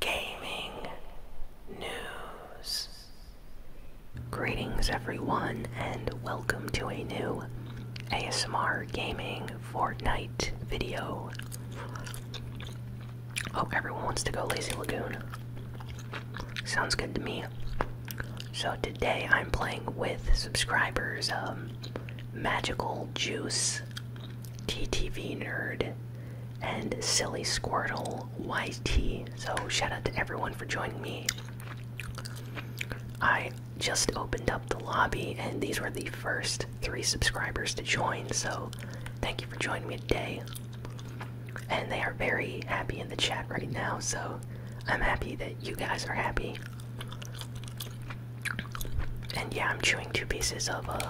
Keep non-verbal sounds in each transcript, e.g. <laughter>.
gaming news. Greetings, everyone, and welcome to a new ASMR gaming Fortnite video. Oh, everyone wants to go Lazy Lagoon. Sounds good to me. So today I'm playing with subscribers um, Magical Juice, TTV Nerd, and Silly Squirtle YT. So, shout out to everyone for joining me. I just opened up the lobby, and these were the first three subscribers to join. So, thank you for joining me today. And they are very happy in the chat right now. So, I'm happy that you guys are happy. And yeah, I'm chewing two pieces of uh,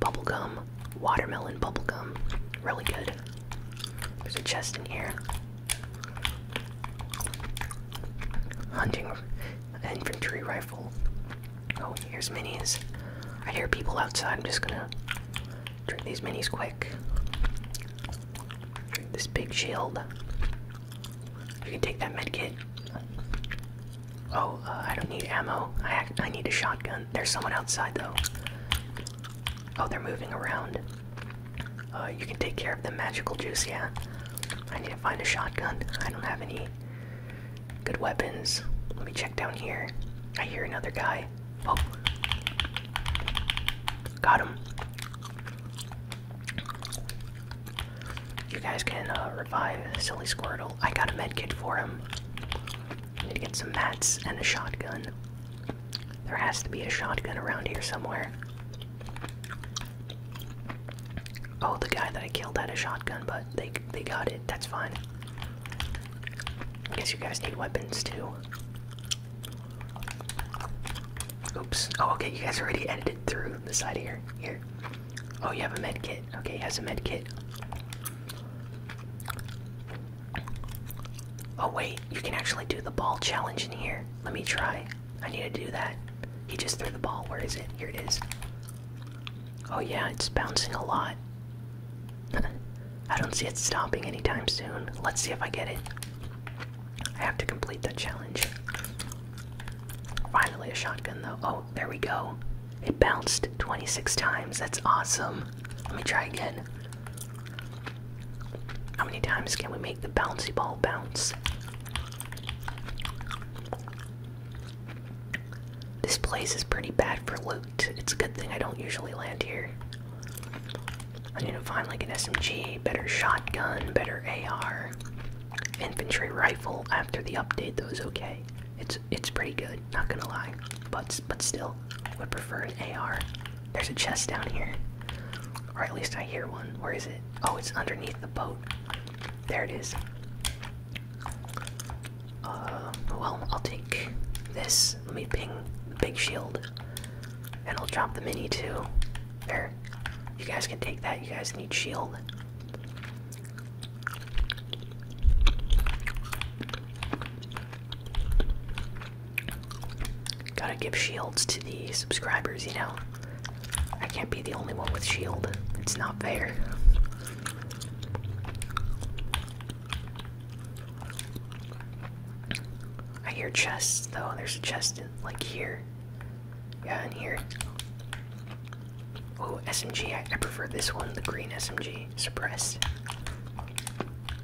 bubblegum, watermelon bubblegum. Really good. There's a chest in here. Hunting infantry rifle. Oh, here's minis. I hear people outside. I'm just gonna drink these minis quick. Drink this big shield. I can take that medkit. Oh, uh, I don't need ammo. I, I need a shotgun. There's someone outside, though. Oh, they're moving around. Uh, you can take care of the magical juice, yeah. I need to find a shotgun. I don't have any good weapons. Let me check down here. I hear another guy. Oh. Got him. You guys can uh, revive Silly Squirtle. I got a medkit for him. I need to get some mats and a shotgun. There has to be a shotgun around here somewhere. Oh, the guy that I killed had a shotgun, but they they got it. That's fine. I guess you guys need weapons too. Oops. Oh, okay. You guys already edited through the side here. Here. Oh, you have a med kit. Okay, he has a med kit. Oh wait, you can actually do the ball challenge in here. Let me try. I need to do that. He just threw the ball. Where is it? Here it is. Oh yeah, it's bouncing a lot. <laughs> I don't see it stopping anytime soon. Let's see if I get it. I have to complete that challenge. Finally a shotgun though. Oh, there we go. It bounced 26 times. That's awesome. Let me try again. How many times can we make the bouncy ball bounce? This place is pretty bad for loot. It's a good thing I don't usually land here. I need to find like an SMG, better shotgun, better AR. Infantry rifle after the update, though, is okay. It's it's pretty good, not gonna lie. But but still, would prefer an AR. There's a chest down here, or at least I hear one. Where is it? Oh, it's underneath the boat. There it is. Uh, well, I'll take this. Let me ping the big shield, and I'll drop the mini too. There. You guys can take that. You guys need shield. Gotta give shields to the subscribers, you know? I can't be the only one with shield. It's not fair. I hear chests though. There's a chest in like here. Yeah, in here. Oh, SMG. I prefer this one, the green SMG suppressed.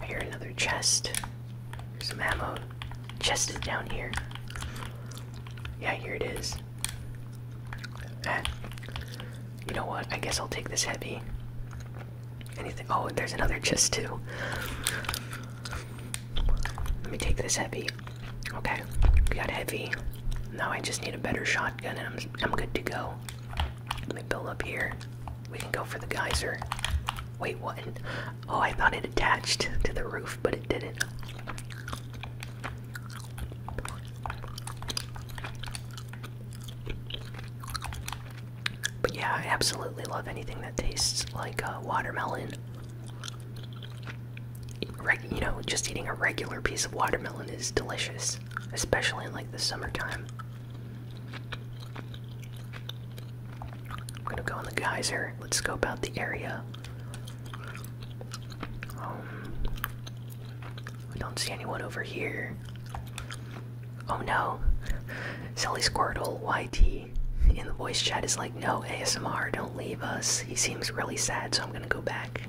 I hear another chest. There's some ammo. Chest is down here. Yeah, here it is. Eh. You know what? I guess I'll take this heavy. Anything? Oh, there's another chest too. Let me take this heavy. Okay, got heavy. Now I just need a better shotgun and I'm good to go. Let me build up here. We can go for the geyser. Wait, what? Oh, I thought it attached to the roof, but it didn't. But yeah, I absolutely love anything that tastes like uh, watermelon. you know, just eating a regular piece of watermelon is delicious, especially in like the summertime. I'm gonna go on the geyser. Let's scope out the area. Um, I don't see anyone over here. Oh no. Sally Squirtle YT in the voice chat is like, no, ASMR, don't leave us. He seems really sad, so I'm gonna go back.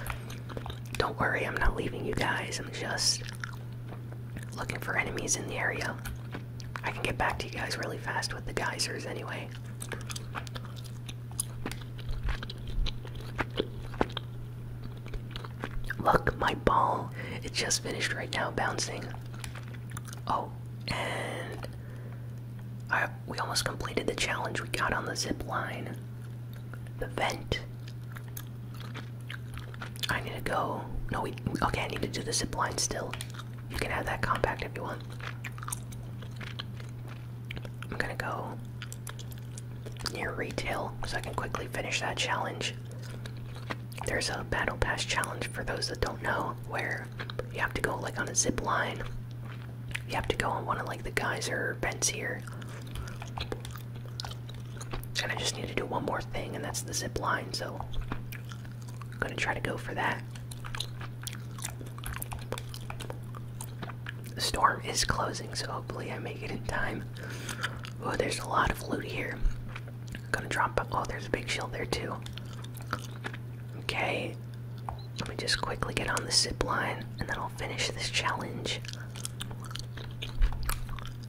<laughs> don't worry, I'm not leaving you guys. I'm just looking for enemies in the area. I can get back to you guys really fast with the geysers anyway. Look, my ball. It just finished right now bouncing. Oh, and I we almost completed the challenge we got on the zip line. The vent. I need to go. No, we. Okay, I need to do the zip line still. You can have that compact if you want. I'm gonna go near retail so I can quickly finish that challenge. There's a battle pass challenge for those that don't know where you have to go like on a zip line. You have to go on one of like the geyser vents here. And I just need to do one more thing, and that's the zip line, so I'm gonna try to go for that. The storm is closing, so hopefully I make it in time. Oh, there's a lot of loot here. I'm gonna drop. Oh, there's a big shield there, too. Okay, let me just quickly get on the zip line, and then I'll finish this challenge.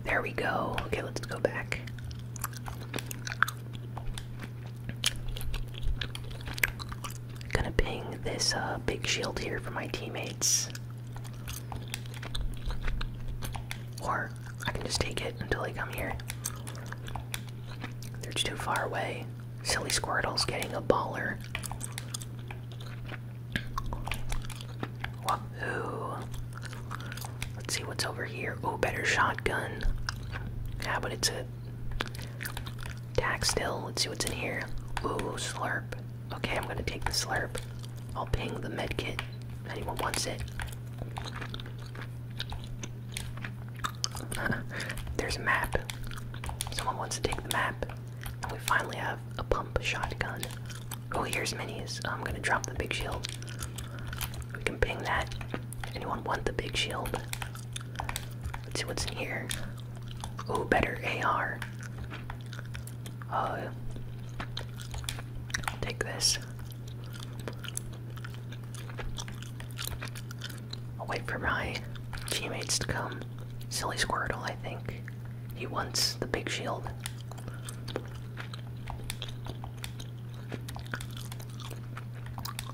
There we go. Okay, let's go back. Gonna ping this uh, big shield here for my teammates. Or I can just take it until they come here. They're too far away. Silly Squirtle's getting a baller. Ooh. Let's see what's over here. Oh, better shotgun. Yeah, but it's a tack still. Let's see what's in here. Ooh, slurp. Okay, I'm gonna take the slurp. I'll ping the med kit. Anyone wants it? <laughs> There's a map. Someone wants to take the map. And we finally have a pump shotgun. Oh, here's minis. I'm gonna drop the big shield. We can ping that. Anyone want the big shield? Let's see what's in here. Oh, better AR. Uh, take this. I'll wait for my teammates to come. Silly Squirtle, I think. He wants the big shield.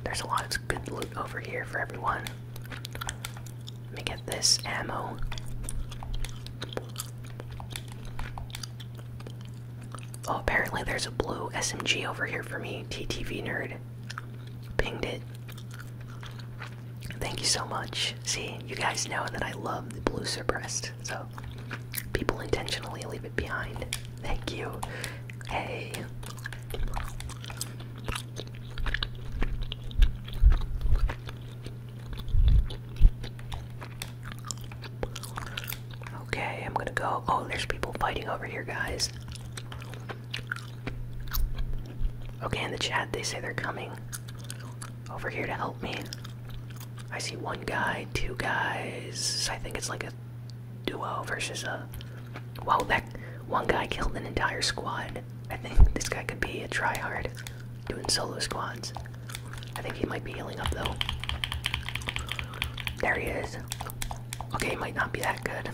There's a lot of good loot over here for everyone. Let me get this ammo. Oh, apparently there's a blue SMG over here for me, TTV nerd. Pinged it. Thank you so much. See, you guys know that I love the blue suppressed. So people intentionally leave it behind. Thank you. Hey. Okay, I'm gonna go. Oh, there's people fighting over here, guys. Okay, in the chat, they say they're coming over here to help me. I see one guy, two guys. I think it's like a duo versus a. Wow, that one guy killed an entire squad. I think this guy could be a tryhard doing solo squads. I think he might be healing up though. There he is. Okay, might not be that good.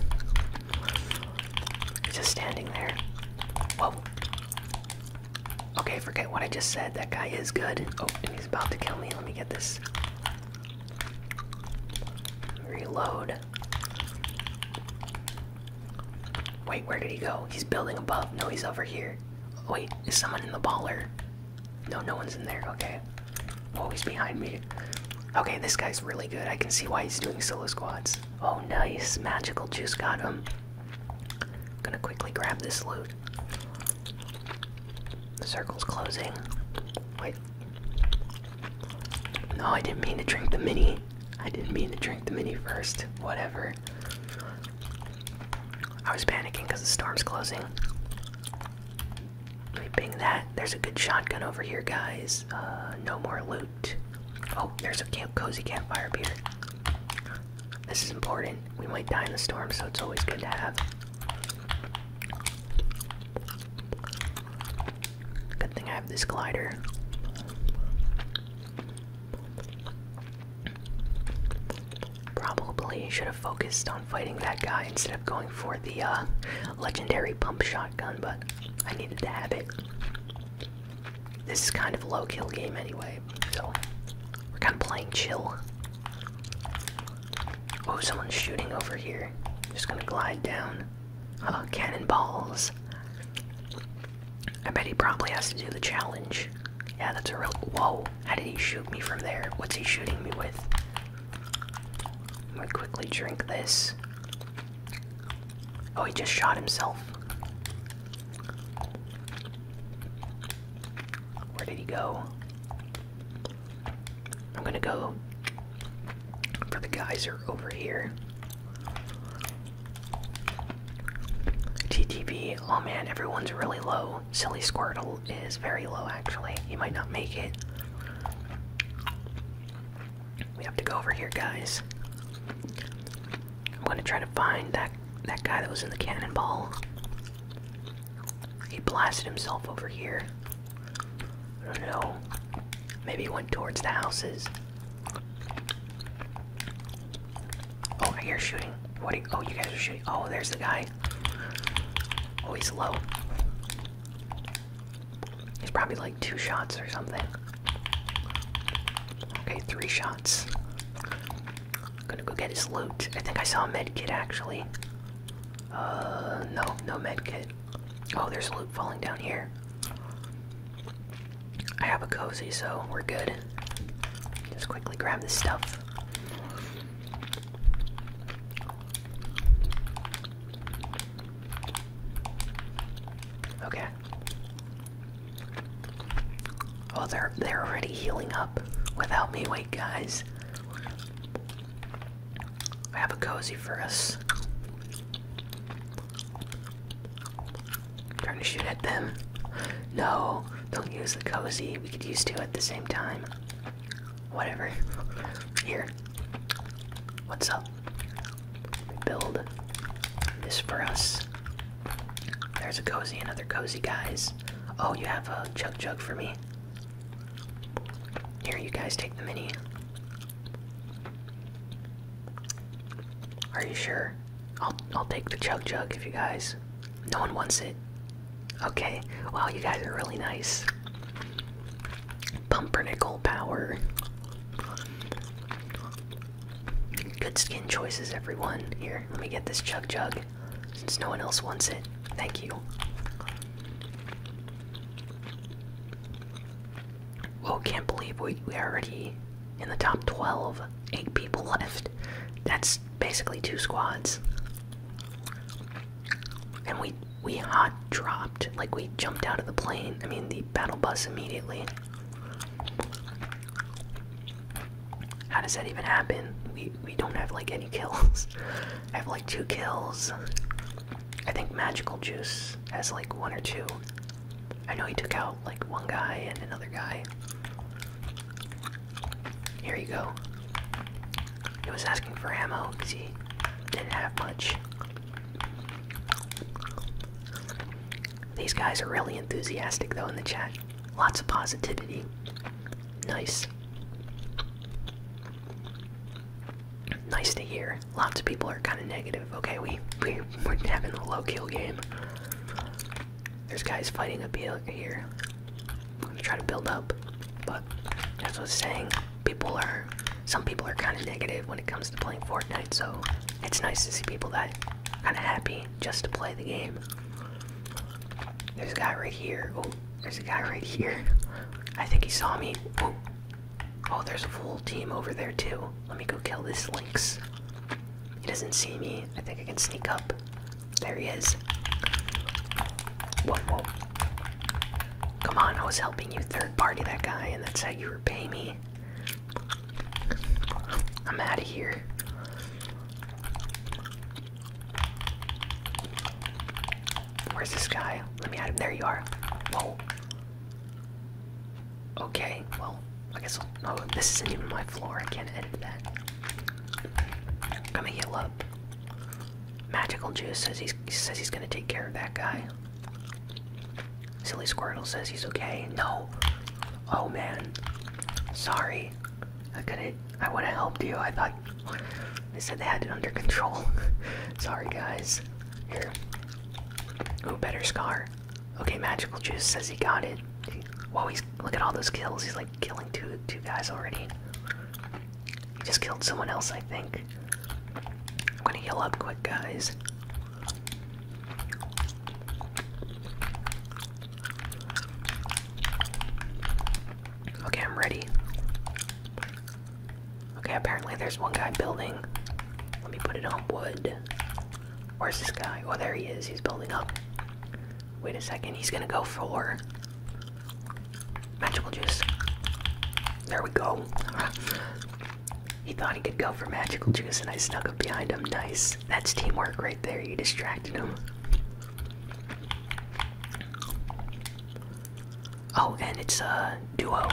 He's just standing there. Whoa. Okay, forget what I just said. That guy is good. Oh, and he's about to kill me. Let me get this. Reload. Wait, where did he go? He's building above. No, he's over here. Oh, wait, is someone in the baller? No, no one's in there. Okay. Oh, he's behind me. Okay, this guy's really good. I can see why he's doing solo squads. Oh, nice. Magical juice got him. I'm gonna quickly grab this loot. The circle's closing. Wait. No, I didn't mean to drink the mini. I didn't mean to drink the mini first. Whatever. I was panicking because the storm's closing. Let me bing that. There's a good shotgun over here, guys. Uh, no more loot. Oh, there's a cozy campfire beer. This is important we might die in the storm, so it's always good to have. Good thing I have this glider. Probably should have focused on fighting that guy instead of going for the uh, legendary pump shotgun, but I needed to have it. This is kind of a low kill game anyway, so we're kind of playing chill. Oh, someone's shooting over here. Just gonna glide down. Oh, cannonballs. I bet he probably has to do the challenge. Yeah, that's a real. Whoa, how did he shoot me from there? What's he shooting me with? I'm gonna quickly drink this. Oh, he just shot himself. Where did he go? I'm gonna go for the geyser over here. TTP. oh man, everyone's really low. Silly Squirtle is very low actually. He might not make it. We have to go over here, guys. I'm gonna try to find that that guy that was in the cannonball. He blasted himself over here. I don't know. Maybe he went towards the houses. Oh, I hear shooting. What? You, oh, you guys are shooting. Oh, there's the guy. Oh, he's low. He's probably like two shots or something. Okay, three shots. I'm gonna go get his loot. I think I saw a med kit actually. Uh, no, no med kit. Oh, there's loot falling down here. I have a cozy, so we're good. Just quickly grab this stuff. Okay. Oh, they're they're already healing up without me. Wait, guys. I have a cozy for us. Trying to shoot at them. No, don't use the cozy. We could use two at the same time. Whatever. Here. What's up? Build this for us. There's a cozy, and other cozy, guys. Oh, you have a chug chug for me. Here, you guys take the mini. Are you sure? I'll I'll take the chug jug if you guys. No one wants it. Okay. Wow, you guys are really nice. Pumpernickel power. Good skin choices, everyone. Here, let me get this chug jug. Since no one else wants it, thank you. Whoa, oh, can't believe we, we are already in the top 12. Eight people left. That's basically two squads. And we we hot dropped. Like we jumped out of the plane. I mean the battle bus immediately. How does that even happen? We we don't have like any kills. <laughs> I have like two kills. I think Magical Juice has like one or two. I know he took out like one guy and another guy. Here you go. He was asking for ammo because he didn't have much. These guys are really enthusiastic though in the chat. Lots of positivity. Nice. Nice to hear. Lots of people are kind of negative. Okay, we, we, we're having a low kill game. There's guys fighting up here. I'm gonna try to build up, but as I was saying, people are, some people are kind of negative when it comes to playing Fortnite, so it's nice to see people that kind of happy just to play the game. There's a guy right here. Oh, there's a guy right here. I think he saw me. Oh, there's a full team over there too. Let me go kill this lynx. He doesn't see me. I think I can sneak up. There he is. Whoa, whoa. Come on, I was helping you third party that guy, and that's how you repay me. I'm out of here. Where's this guy? Let me add him. There you are. Oh. Okay, well, I guess this isn't even my floor. I can't edit that. Gonna heal up. Magical Juice says he's, he says he's gonna take care of that guy. Silly Squirtle says he's okay. No. Oh man. Sorry. I couldn't. I would have helped you. I thought they said they had it under control. <laughs> Sorry, guys. Here. Ooh, better scar. Okay, magical juice says he got it. Whoa, he's look at all those kills. He's like killing two two guys already. He just killed someone else, I think. I'm gonna heal up quick, guys. Okay, I'm ready. Okay, apparently there's one guy building. Let me put it on wood. Where's this guy? Oh, there he is. He's building up. Wait a second. He's gonna go for magical juice. There we go. <laughs> he thought he could go for magical juice, and I snuck up behind him. Nice. That's teamwork right there. You distracted him. Oh, and it's a duo.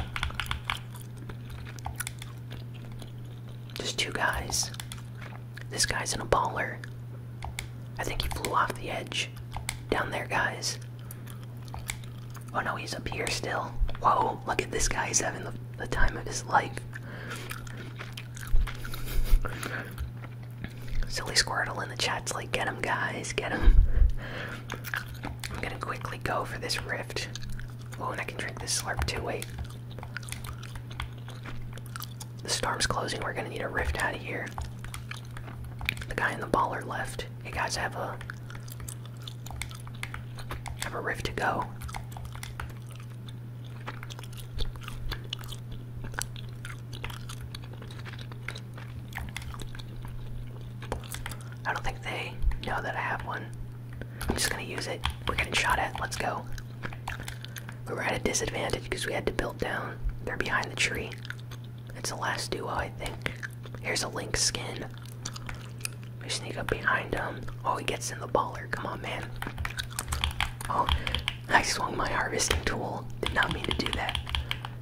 Just two guys. This guy's in a baller. I think he flew off the edge. Down there, guys. Oh no, he's up here still. Whoa, look at this guy. He's having the time of his life. Silly Squirtle in the chat's like, get him, guys, get him. I'm gonna quickly go for this rift. Oh, and I can drink this slurp too. Wait. The storm's closing. We're gonna need a rift out of here. The guy in the baller left. You guys, have a have a rift to go. I don't think they know that I have one. I'm just gonna use it. We're getting shot at. Let's go. We are at a disadvantage because we had to build down. They're behind the tree. It's the last duo, I think. Here's a lynx skin. We sneak up behind him. Oh, he gets in the baller. Come on, man. Oh, I swung my harvesting tool. Did not mean to do that.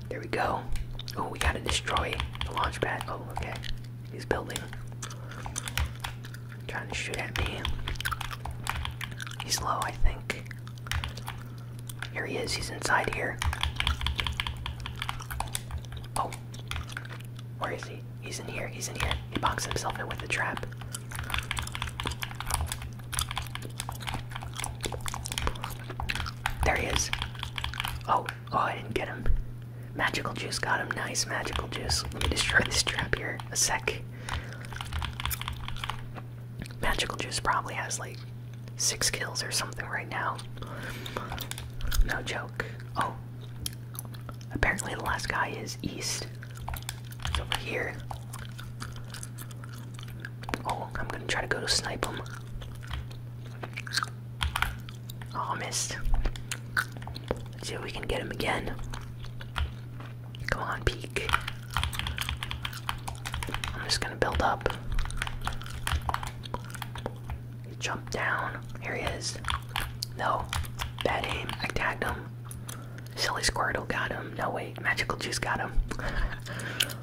There we go. Oh, we gotta destroy the launch pad. Oh, okay. He's building. Trying to shoot at me. He's low, I think. Here he is. He's inside here. Oh. Where is he? He's in here. He's in here. He boxed himself in with the trap. There he is. Oh, oh, I didn't get him. Magical juice got him. Nice, magical juice. Let me destroy this trap here. A sec. Magical juice probably has like six kills or something right now. No joke. Oh. Apparently the last guy is east. It's over here. Oh, I'm gonna try to go to snipe him. Oh, missed. see if we can get him again. Come on, peek. I'm just gonna build up. Jump down. Here he is. No. Bad aim. I tagged him. Silly Squirtle got him. No, way. Magical Juice got him. <laughs>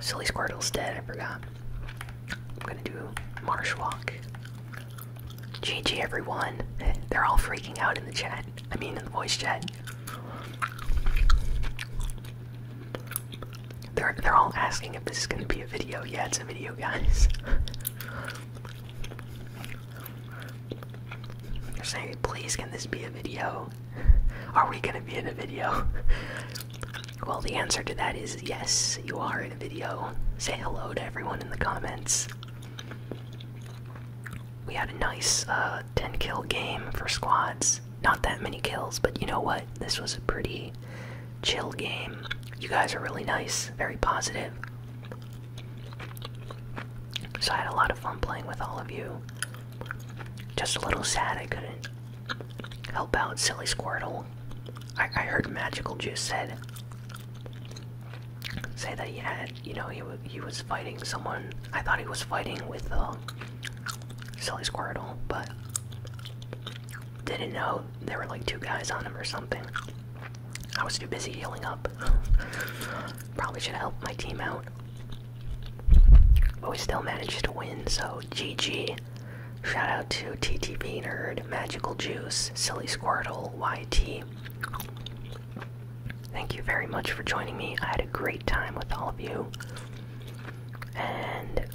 Silly Squirtle's dead, I forgot. I'm gonna do Marsh Walk. GG everyone. <laughs> They're all freaking out in the chat. I mean in the voice chat. They're they're all asking if this is gonna be a video. Yeah, it's a video, guys. <laughs> They're saying, please can this be a video? Are we gonna be in a video? <laughs> well, the answer to that is yes, you are in a video. Say hello to everyone in the comments. We had a nice uh, 10 kill game for squads. Not that many kills, but you know what? This was a pretty chill game. You guys are really nice, very positive. So I had a lot of fun playing with all of you. Just a little sad I couldn't Help out, silly Squirtle. I, I heard Magical Juice said say that he had, you know, he he was fighting someone. I thought he was fighting with uh, silly Squirtle, but didn't know there were like two guys on him or something. I was too busy healing up. <laughs> Probably should help my team out. But we still managed to win, so GG. Shout out to TTP Nerd, Magical Juice, Silly Squirtle, YT. Thank you very much for joining me. I had a great time with all of you. And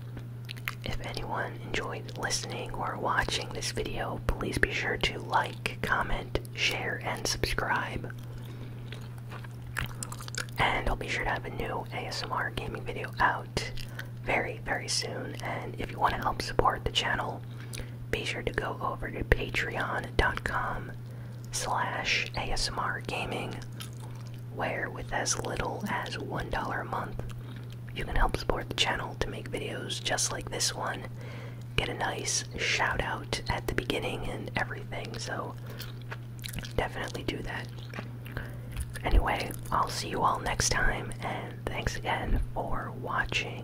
if anyone enjoyed listening or watching this video, please be sure to like, comment, share, and subscribe. And I'll be sure to have a new ASMR gaming video out very, very soon. And if you want to help support the channel, be sure to go over to patreon.com slash ASMR gaming, where with as little as $1 a month, you can help support the channel to make videos just like this one, get a nice shout out at the beginning and everything. So definitely do that. Anyway, I'll see you all next time, and thanks again for watching.